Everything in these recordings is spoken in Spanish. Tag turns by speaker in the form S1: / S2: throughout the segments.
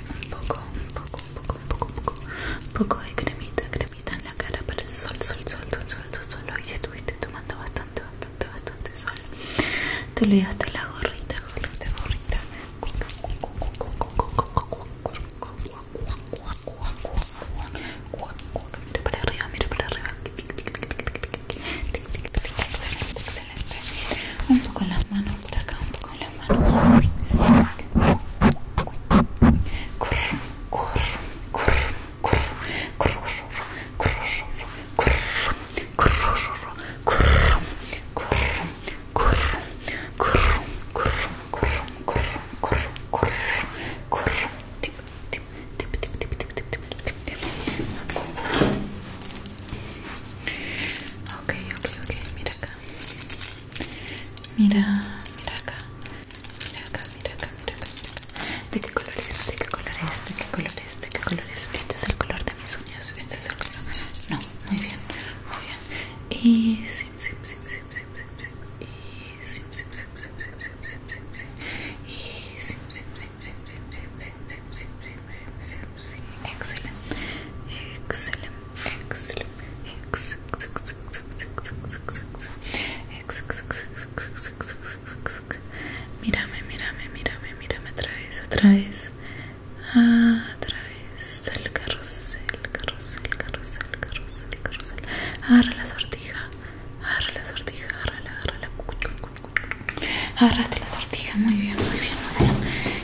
S1: un poco, un poco, un poco, un poco, un poco, poco de cremita, cremita en la cara para el sol, sol, sol, sol, sol, sol, sol. estuviste tomando bastante, bastante, bastante sol. Te olvidaste la gorrita, gorrita, gorrita. Mira para arriba, un poco las manos por acá un poco las manos Ok, ok, ok, mira acá Mira, mira acá. Mira acá, mira acá, mira acá. ¿De qué color es? ¿De qué color es? ¿De qué color es? ¿De qué color es? Este es el color de mis uñas. Este es el color. No, muy bien, muy bien. Excelente, excelente. Mírame, mírame, mírame, mírame otra vez, otra vez. Ah, otra vez. El carrusel, carrusel, carrusel, carrusel, carrusel. Agarra la sortija. Agarra la sortija, agarra agarra la. Agarraste la sortija, muy bien, muy bien.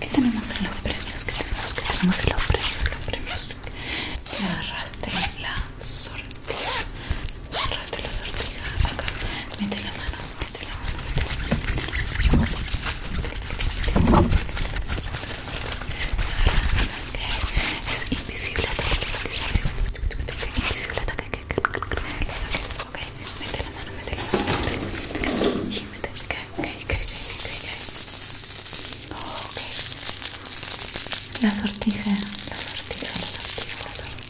S1: ¿Qué tenemos en los premios? ¿Qué tenemos? ¿Qué tenemos en los premios? En los premios. agarraste la sortija. la sortija. Acá. Mete la mano. Mete la mano. Es invisible que Mete la mano ok, ok, ok, ok Oh, okay. La sortija, la sortija, la sortija, la sortija.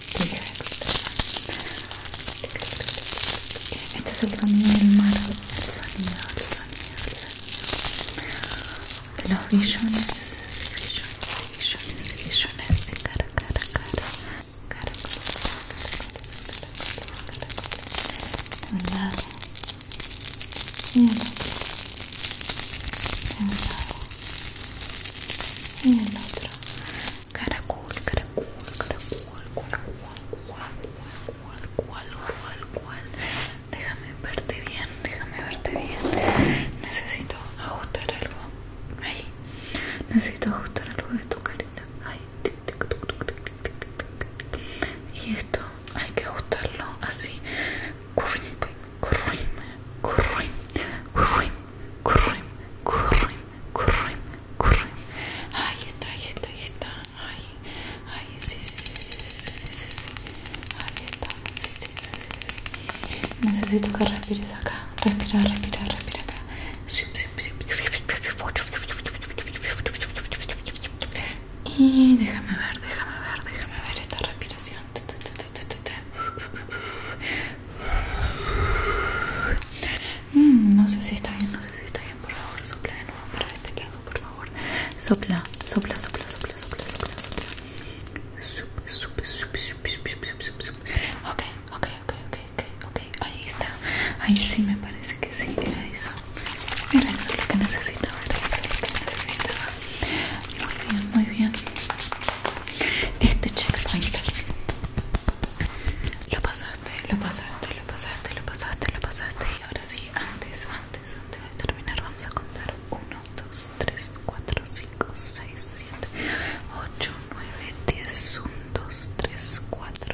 S1: Este es el sonido del mar, el sonido, el sonido, el sonido. Los billones, billones, visiones, billones de cara, cara, cara. Cara, cara, cara, cara, cara, cara, en un lado y el otro. en un lado y el otro. Caracol, caracol, caracol, caracol, cual, cual, cual, cual, cual. Déjame verte bien, déjame verte bien. Necesito ajustar algo. Ahí. Necesito ajustar algo de tu carita. Ahí. Y esto hay que ajustarlo así. corrim corrim corrim corrim corrim corrim corrim corrim Ahí está, ahí está, ahí está. Ahí, sí, sí, sí, sí, sí, sí, sí, sí, está, sí, sí, sí, sí, Necesito que respires acá. Respira, respira, respira sí. Y déjame ver, déjame ver, déjame ver esta respiración. Mm, no sé si está bien, no sé si está bien. Por favor, sopla de nuevo para este lado, por favor. Sopla, sopla, sopla, sopla, sopla, sopla, sopla. sopla, sopla, sopla, sopla, Ok, ok, ok, ok, ok, ok, ahí está. Ahí sí me parece que sí, era eso. Mira, eso lo que necesitaba, era eso lo que necesitaba. Muy bien, muy bien. Este checkpoint. Lo pasaste, lo pasaste, lo pasaste, lo pasaste, lo pasaste. Y ahora sí, antes, antes, antes de terminar, vamos a contar 1, 2, 3, 4, 5, 6, 7, 8, 9, 10, 1, 2, 3, 4.